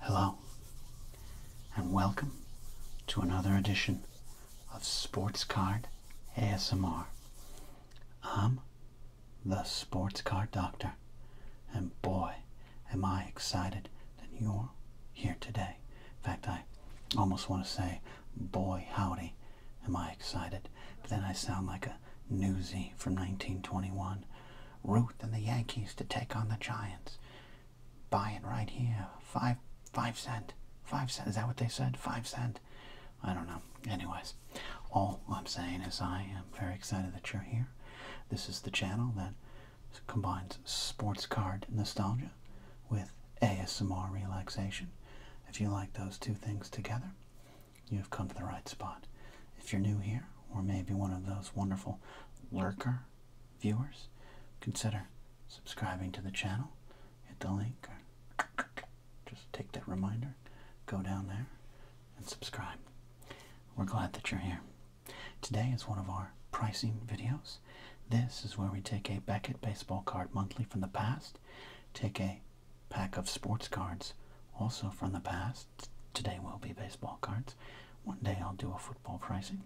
Hello, and welcome to another edition of Sports Card ASMR. I'm the Sports Card Doctor, and boy, am I excited that you're here today. In fact, I almost want to say, boy, howdy, Am I excited? But then I sound like a newsie from 1921. Ruth and the Yankees to take on the Giants. Buy it right here. Five, five cent. Five cent. Is that what they said? Five cent. I don't know. Anyways, all I'm saying is I am very excited that you're here. This is the channel that combines sports card nostalgia with ASMR relaxation. If you like those two things together, you have come to the right spot. If you're new here, or maybe one of those wonderful lurker viewers, consider subscribing to the channel. Hit the link, or just take that reminder, go down there, and subscribe. We're glad that you're here. Today is one of our pricing videos. This is where we take a Beckett baseball card monthly from the past, take a pack of sports cards, also from the past. Today will be baseball cards. One day I'll do a football pricing.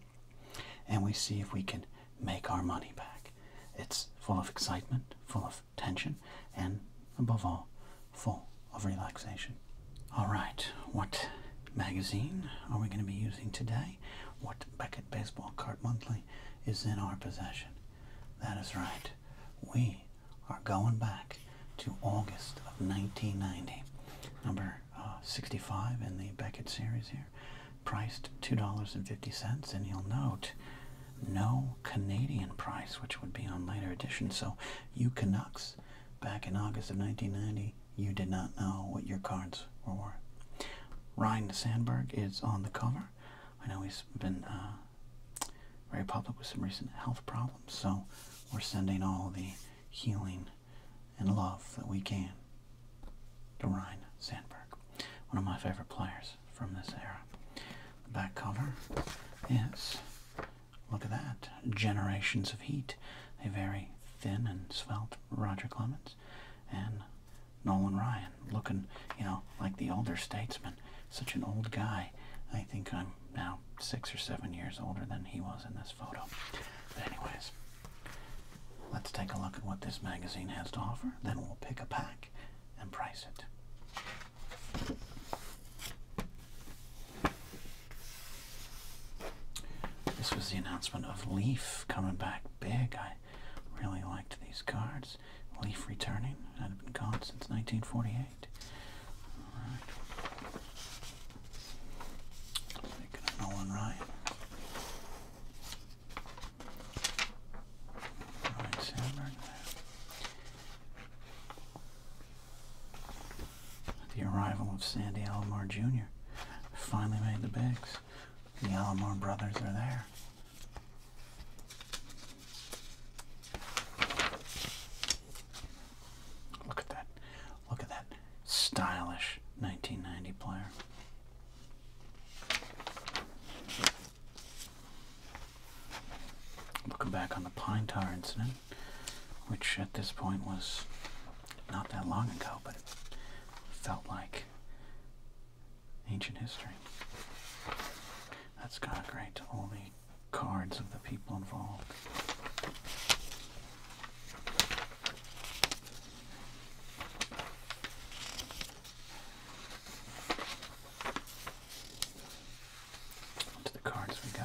And we see if we can make our money back. It's full of excitement, full of tension, and above all, full of relaxation. All right, what magazine are we going to be using today? What Beckett Baseball Card Monthly is in our possession? That is right. We are going back to August of 1990. Number uh, 65 in the Beckett series here, priced $2.50, and you'll note no Canadian price, which would be on later editions. So you Canucks, back in August of 1990, you did not know what your cards were worth. Ryan Sandberg is on the cover. I know he's been uh, very public with some recent health problems, so we're sending all the healing and love that we can to Ryan Sandberg, one of my favorite players from this era. The back cover is, look at that, Generations of Heat, a very thin and svelte Roger Clemens, and Nolan Ryan looking, you know, like the older statesman such an old guy. I think I'm now six or seven years older than he was in this photo. But anyways, let's take a look at what this magazine has to offer. Then we'll pick a pack and price it. This was the announcement of Leaf coming back big. I really liked these cards leaf returning. That had been gone since 1948. Alright. Thinking of Nolan Ryan. Ryan Sandberg The arrival of Sandy Alomar Jr. finally made the bigs. The Alomar brothers are there. Look at that. Look at that stylish 1990 player. Looking back on the Pine Tar incident, which at this point was not that long ago, but it felt like ancient history. That's kind of great. All cards of the people involved. To the cards we go.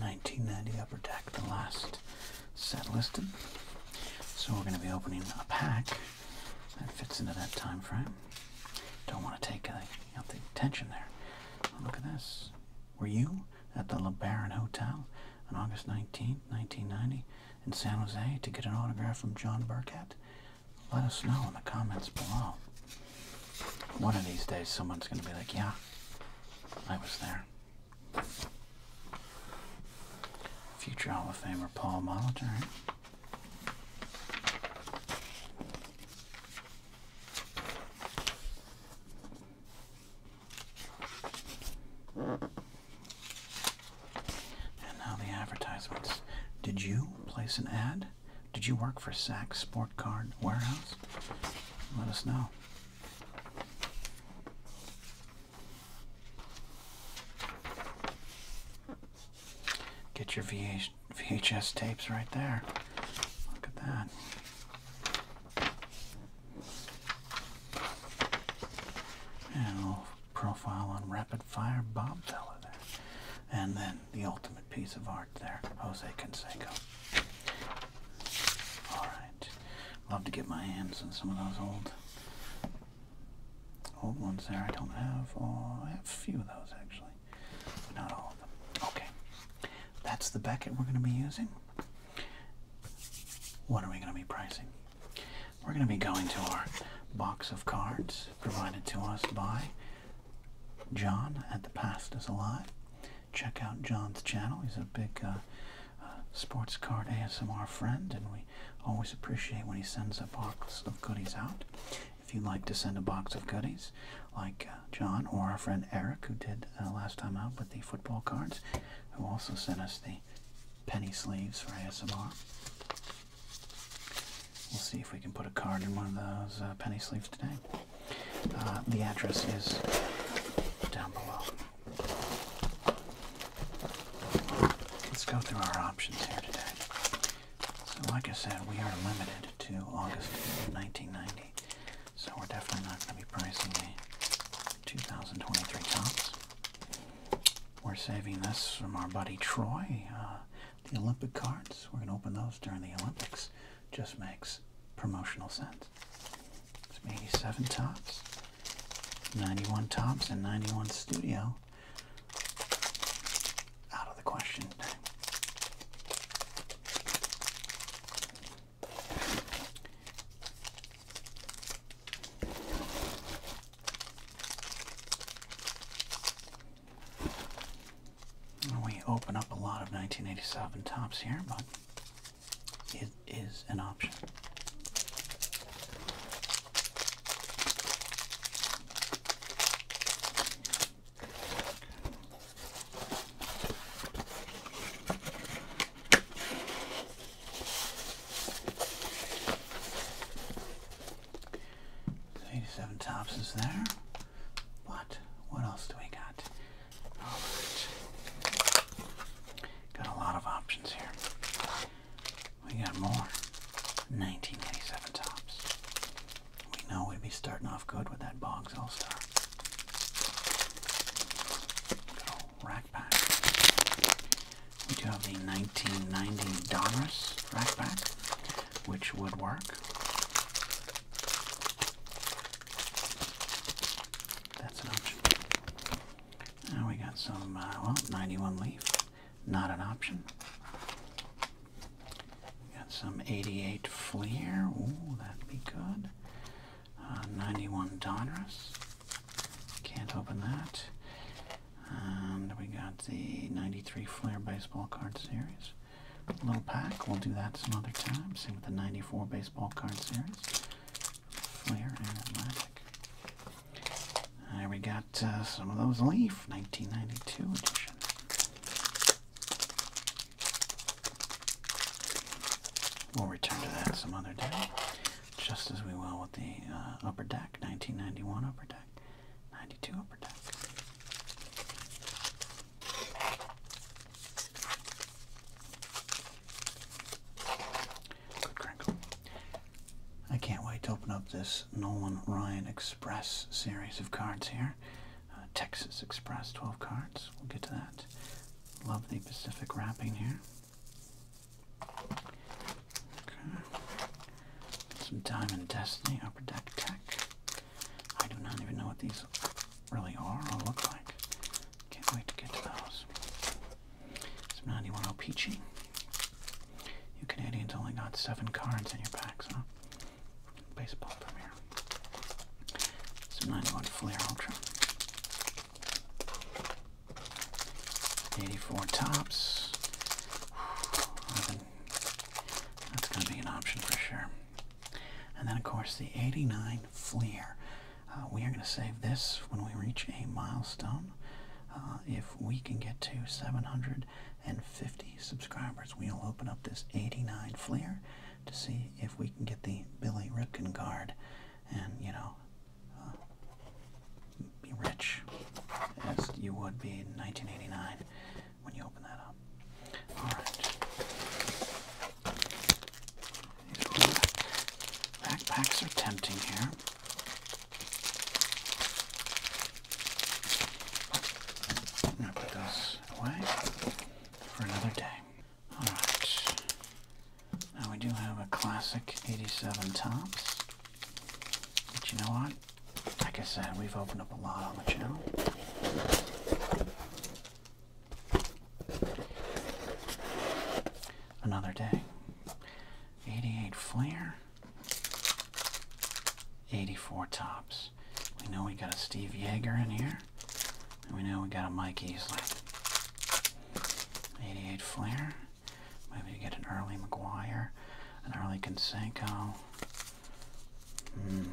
1990 Upper Deck, the last set listed. So we're going to be opening a pack that fits into that time frame. Don't want to take uh, out the attention there. look at this were you at the LeBaron Hotel on August 19, 1990 in San Jose to get an autograph from John Burkett? Let us know in the comments below. One of these days someone's going to be like, yeah, I was there. Future Hall of Famer Paul Molitor. And now the advertisements. Did you place an ad? Did you work for Saks Sport Card Warehouse? Let us know. Get your VHS tapes right there. Look at that profile on rapid fire, Bob Fella there. And then the ultimate piece of art there, Jose Canseco. Alright. Love to get my hands on some of those old old ones there. I don't have all I have a few of those actually. But not all of them. Okay. That's the Beckett we're going to be using. What are we going to be pricing? We're going to be going to our box of cards provided to us by John at The Past is Alive. Check out John's channel. He's a big uh, uh, sports card ASMR friend, and we always appreciate when he sends a box of goodies out. If you'd like to send a box of goodies, like John or our friend Eric, who did uh, last time out with the football cards, who also sent us the penny sleeves for ASMR. We'll see if we can put a card in one of those uh, penny sleeves today. Uh, the address is down below. Let's go through our options here today. So like I said, we are limited to August 1990. So we're definitely not going to be pricing the 2023 tops. We're saving this from our buddy Troy. Uh, the Olympic cards, we're going to open those during the Olympics. Just makes promotional sense. It's maybe seven tops, 91 tops, and 91 studio. Out of the question. We open up a lot of 1987 tops here, but it is an option. Eighty-seven tops is there. What? What else do we got? Got a lot of options here. We got more. 1987 tops. We know we'd be starting off good with that Boggs All Star. rack pack. We do have the 1990 Donruss rack pack, which would work. That's an option. Now we got some, uh, well, 91 leaf, not an option got some 88 Flair. Ooh, that'd be good. Uh, 91 Donruss. Can't open that. And we got the 93 Flair Baseball Card Series. little pack, we'll do that some other time. Same with the 94 Baseball Card Series. Flair and Atlantic. And we got uh, some of those Leaf 1992 edition. We'll return to that some other day, just as we will with the uh, upper deck, 1991 upper deck, 92 upper deck. Good crinkle. I can't wait to open up this Nolan Ryan Express series of cards here. Uh, Texas Express, 12 cards. We'll get to that. Lovely Pacific wrapping here. Okay. Some Diamond Destiny, Upper Deck Tech. I do not even know what these really are or look like. Can't wait to get to those. Some 91 Peachy. You Canadians only got seven cards in your packs, huh? baseball premiere. Some 91 Flair Ultra. 84 Tops. That's going to be an option for sure. And then, of course, the 89 Fleer. Uh, we are going to save this when we reach a milestone. Uh, if we can get to 750 subscribers, we'll open up this 89 Fleer to see if we can get the Billy Ripken card and, you know, uh, be rich as you would be in 1989 when you open that up. Alright. Backpacks are tempting here. I'm going to put those away for another day. Alright. Now we do have a classic 87 tops. But you know what? Like I said, we've opened up a lot on the channel. Another day. 88 Flair. 84 tops. We know we got a Steve Yeager in here we know we got a Mike Easley. 88 Flair. Maybe we get an early McGuire, an early Consenko. Mm.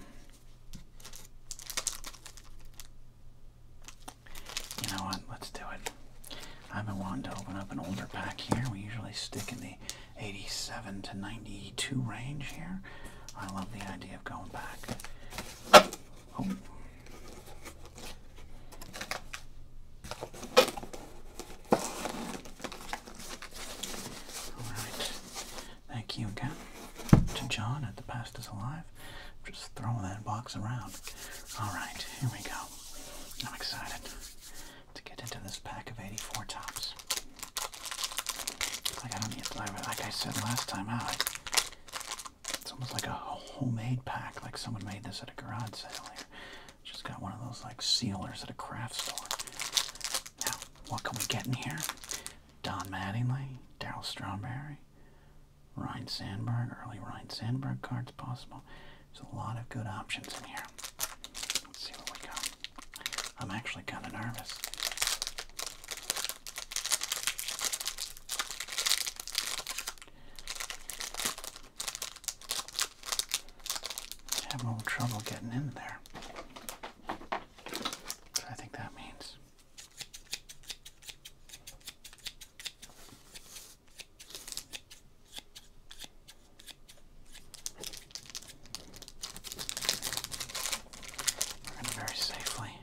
You know what? Let's do it. I've been wanting to open up an older pack here. We usually stick in the 87 to 92 range here. I love the idea of going back. Oh. Alright. Thank you again to John at the Past is Alive. Just throwing that box around. Alright, here we go. I'm excited to get into this pack of 84 tops. Like I said last time out, it's almost like a homemade pack. Like someone made this at a garage sale here. Just got one of those like sealers at a craft store. Now, what can we get in here? Don Mattingly, Darrell Strawberry, Ryan Sandberg, early Ryan Sandberg cards possible. There's a lot of good options in here. Let's see what we got. I'm actually kind of nervous. Having trouble getting in there. I think that means. very safely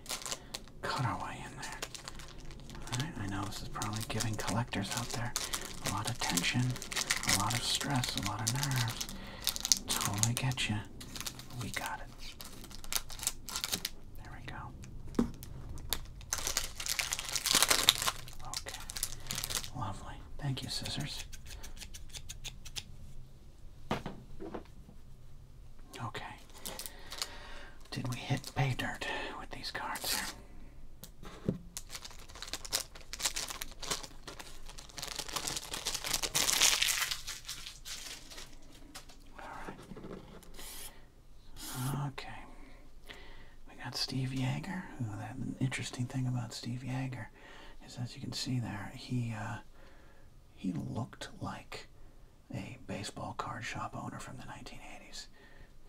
cutaway in there. I know this is probably giving collectors out there a lot of tension, a lot of stress, a lot of nerves. Totally get you. We got it. There we go. Okay. Lovely. Thank you, scissors. Okay. Did we hit pay dirt with these cards Alright. Okay. We got Steve Yeager. that interesting thing about Steve Yeager is as you can see there, he uh, he looked like a baseball card shop owner from the 1980s.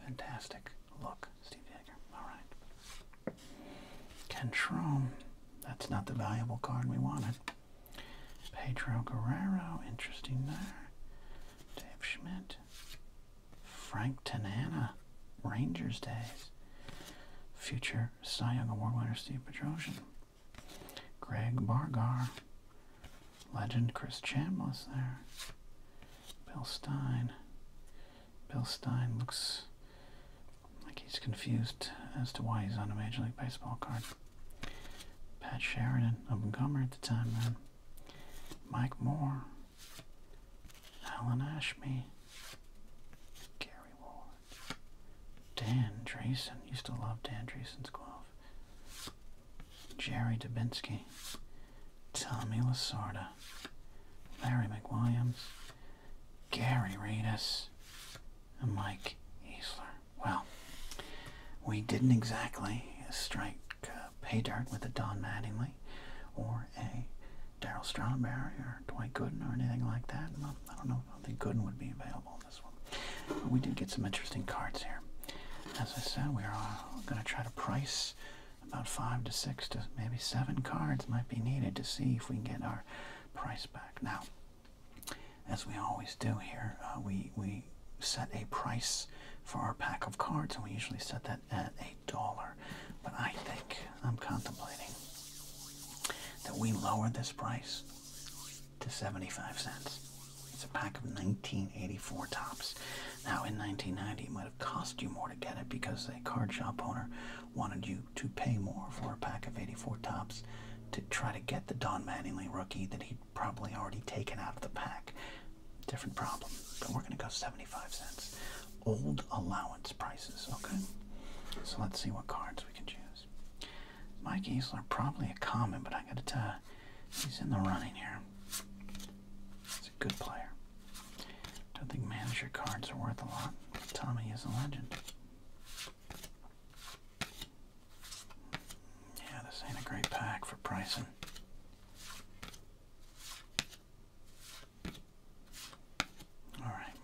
Fantastic look, Steve Yeager. All right. Cantrom. That's not the valuable card we wanted. Pedro Guerrero. Interesting there. Dave Schmidt. Frank Tanana. Rangers days. Future Cy Young Award winner Steve Petrosian. Greg Bargar. Legend Chris Chambliss there. Bill Stein. Bill Stein looks like he's confused as to why he's on a Major League Baseball card. Pat Sheridan, up and comer at the time, man. Mike Moore. Alan Ashby. Gary Wolf. Dan Drayson. Used to love Dan Drayson's golf. Jerry Dubinsky. Tommy Lasorda. Larry McWilliams. Gary Radis. And Mike Easler. Well, we didn't exactly strike uh, pay dirt with a Don Mattingly or a Daryl Strawberry or Dwight Gooden or anything like that. I don't know. I do think Gooden would be available we did get some interesting cards here. As I said, we are uh, going to try to price about five to six to maybe seven cards might be needed to see if we can get our price back. Now, as we always do here, uh, we we set a price for our pack of cards, and we usually set that at a dollar. But I think I'm contemplating that we lower this price to 75 cents. It's a pack of 1984 tops. Now, in 1990, it might have cost you more to get it because a card shop owner wanted you to pay more for a pack of 84 tops to try to get the Don Mattingly rookie that he'd probably already taken out of the pack. Different problem, but we're going to go 75 cents. Old allowance prices, okay? So let's see what cards we can choose. Mike Easler, probably a common, but I got to tell you, he's in the running here. He's a good player. Don't think manager cards are worth a lot. Tommy is a legend. Yeah, this ain't a great pack for pricing. All right.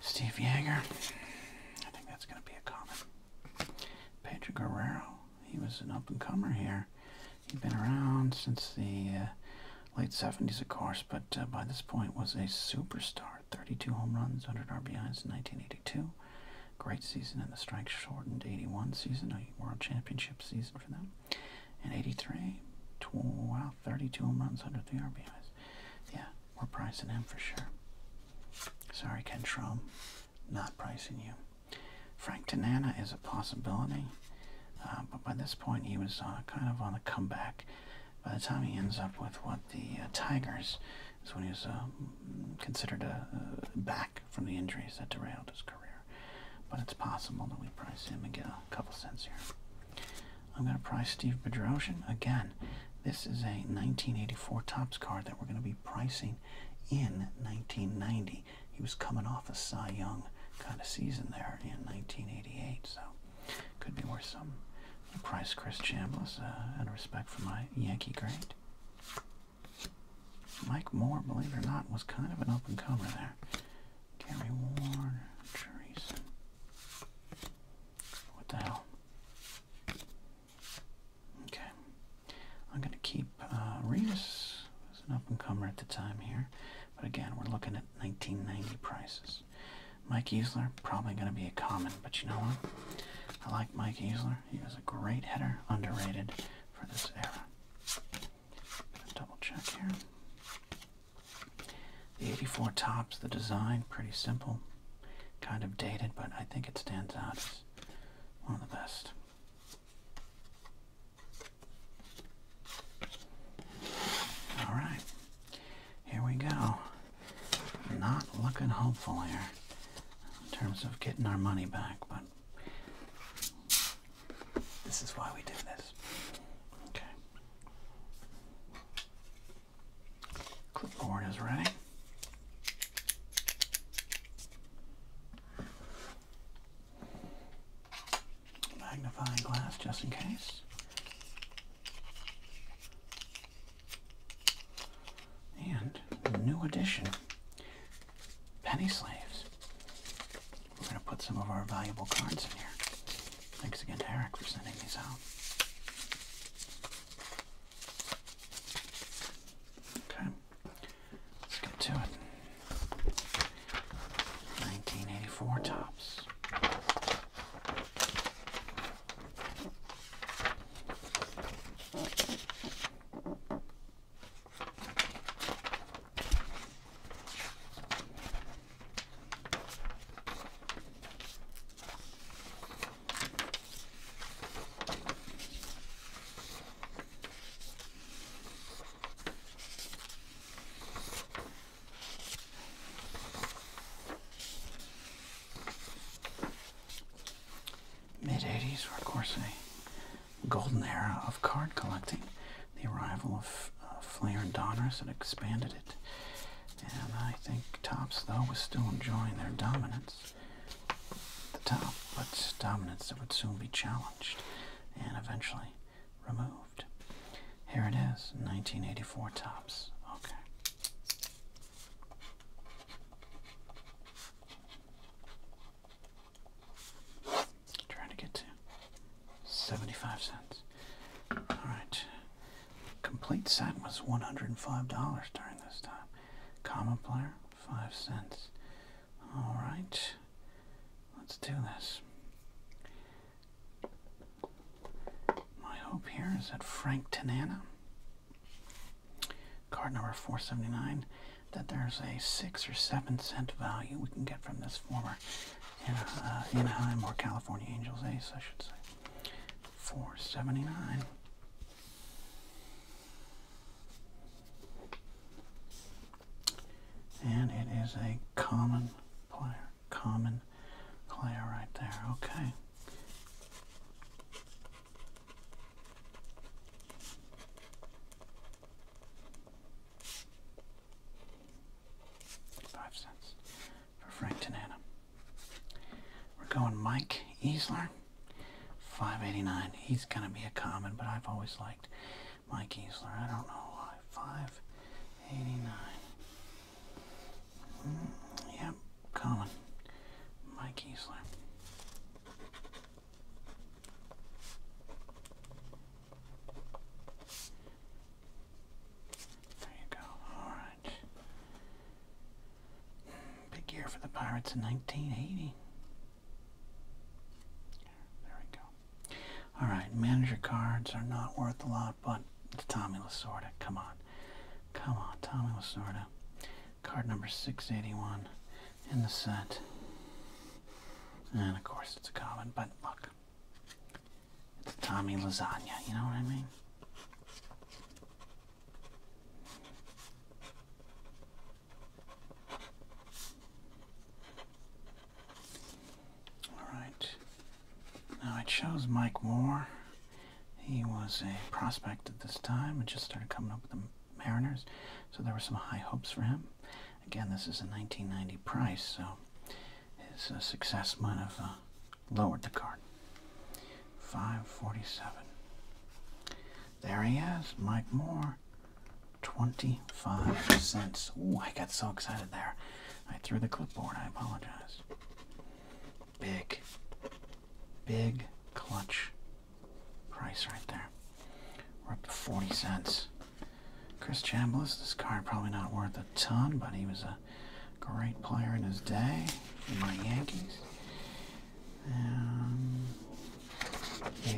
Steve Yeager. I think that's going to be a common. Pedro Guerrero. He was an up-and-comer here. He'd been around since the uh, late 70s, of course, but uh, by this point was a superstar. 32 home runs, 100 RBIs in 1982. Great season in the strike-shortened 81 season, a World Championship season for them. And 83, wow, 32 home runs, 103 RBIs. Yeah, we're pricing him for sure. Sorry, Ken Schrom, not pricing you. Frank Tanana is a possibility, uh, but by this point he was uh, kind of on a comeback. By the time he ends up with what the uh, Tigers is when he was um, considered a, back from the injuries that derailed his career. But it's possible that we price him and get a couple cents here. I'm going to price Steve Bedrosian. Again, this is a 1984 Topps card that we're going to be pricing in 1990. He was coming off a Cy Young kind of season there in 1988, so could be worth some. Price Chris Chambliss uh, out respect for my Yankee great. Mike Moore, believe it or not, was kind of an up and comer there. Gary Warner, Teresa. What the hell? Okay, I'm going to keep uh, Renus was an up-and-comer at the time here, but again, we're looking at 1990 prices. Mike Easler, probably going to be a common, but you know what? I like Mike Easler. He was a great hitter, underrated for this era. Double check here. The 84 tops, the design, pretty simple. Kind of dated, but I think it stands out as one of the best. Alright, here we go. Not looking hopeful here in terms of getting our money back, but this is why we do this. Okay. Clipboard is ready. Magnifying glass just in case. And new addition: penny slaves. We're going to put some of our valuable cards in here. Thanks again to Eric for sending these out. Okay, let's get to it. 1984 tops. Mid 80s were, of course, a golden era of card collecting. The arrival of uh, Flair and Donners had expanded it and I think Tops, though, was still enjoying their dominance at the top, but dominance that would soon be challenged and eventually removed. Here it is, 1984 Tops. Okay. Trying to get to 75 cents. Alright. Complete set was $105 during this time. Comma player, 5 cents. Alright, let's do this. My hope here is that Frank Tanana, card number 479, that there's a 6 or 7 cent value we can get from this former Anaheim uh, or California Angels ace, I should say. Four seventy nine. And it is a common player. Common player right there. Okay. Five cents for Frank Tanana. We're going Mike Easler, 589. He's going to be a common, but I've always liked Mike Easler. I don't know why. 589. Mm, yep, common. Mike Easler. There you go. All right. Big year for the Pirates in 1980. There we go. All right, manager cards are not worth a lot, but it's Tommy Lasorda. Come on. Come on, Tommy Lasorda. Card number 681 in the set. And of course it's a common, but look. It's Tommy Lasagna, you know what I mean? Alright. Now I chose Mike Moore. He was a prospect at this time and just started coming up with the Mariners, so there were some high hopes for him. Again, this is a 1990 price, so his uh, success might have uh, lowered the card. 547. There he is, Mike Moore. 25 cents. Oh, I got so excited there. I threw the clipboard. I apologize. Big, big clutch price right there. We're up to 40 cents. Chris Chambliss, this card probably not worth a ton, but he was a great player in his day in my Yankees. Um,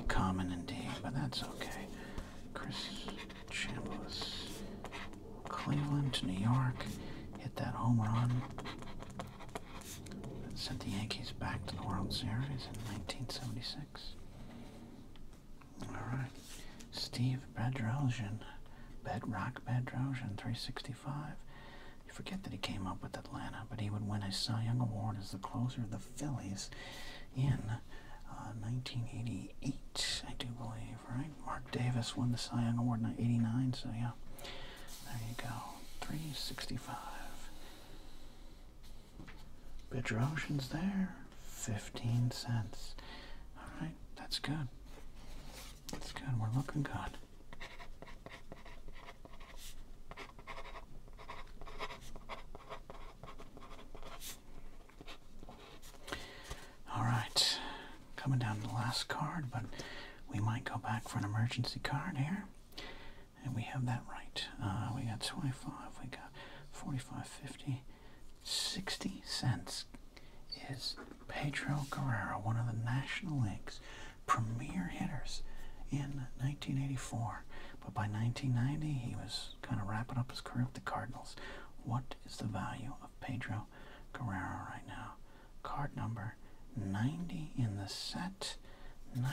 common indeed, but that's okay. Chris Chambliss, Cleveland to New York, hit that home run that sent the Yankees back to the World Series in 1976. All right, Steve Bedrosian, Bedrock Bedrosian, 365. You forget that he came up with Atlanta, but he would win a Cy Young Award as the closer of the Phillies in 1988, uh, I do believe, right? Mark Davis won the Cy Young Award in 89, so yeah. There you go, 365. Bedrosian's there, 15 cents. All right, that's good. That's good. We're looking good. All right, coming down to the last card, but we might go back for an emergency card here. And we have that right. Uh, we got 25, we got 45, 50, 60 cents is Pedro Guerrero, one of the National League's premier hitters in 1984. But by 1990, he was kind of wrapping up his career with the Cardinals. What is the value of Pedro Guerrero right now? Card number 90 in the set. 90.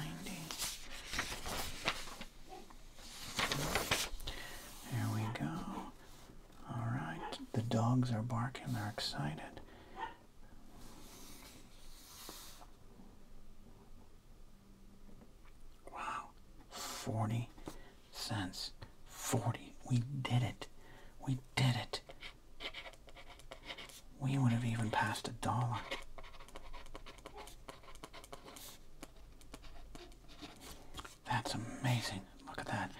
There we go. All right, the dogs are barking, they're excited. Wow, 40 cents. 40. We did it. We did it. We would have even passed a dollar. That's amazing. Look at that.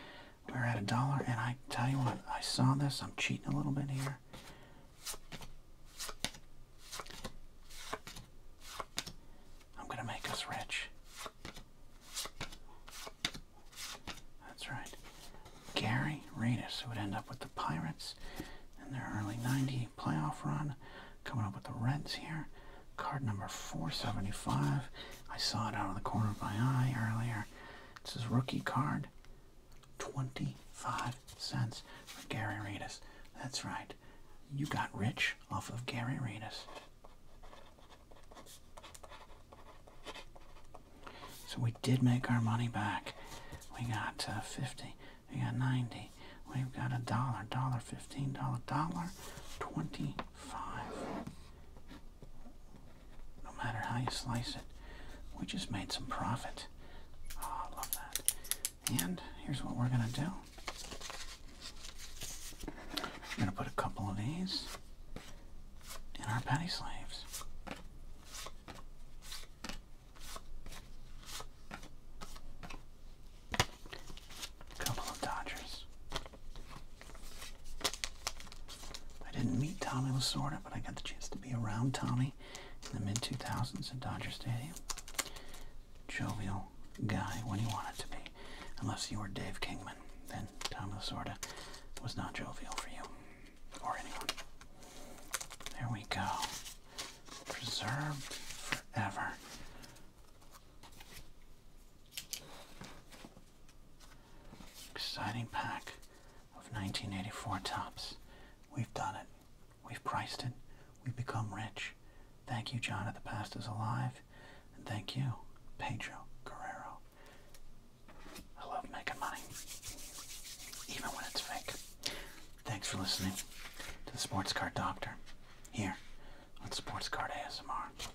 We're at a dollar, and I tell you what, I saw this. I'm cheating a little bit here. I'm going to make us rich. That's right. Gary Radis, would end up with the Pirates in their early 90 playoff run. Coming up with the Reds here. Card number 475. I saw it out of the corner of my eye earlier. This is rookie card. 25 cents for Gary Reedus. That's right. You got rich off of Gary Reedus. So we did make our money back. We got uh, 50. We got 90. We've got a dollar, dollar, fifteen dollar, dollar, twenty five. No matter how you slice it, we just made some profit. Ah, I love that. And here's what we're going to do. We're going to put a couple of these in our penny sleeves. A couple of Dodgers. I didn't meet Tommy Lasorda, but I got the chance to be around Tommy in the mid 2000s at Dodger Stadium. Jovial guy when he wanted to be, unless you were Dave Kingman. Then Tommy Lasorda was not jovial for you or anyone. There we go. Preserved forever. Exciting pack of 1984 tops. We've done it. We've priced it. We've become rich. Thank you, John of the Past is Alive. And thank you, Pedro Guerrero. I love making money, even when it's fake. Thanks for listening to the Sports Card Doctor here on Sports Card ASMR.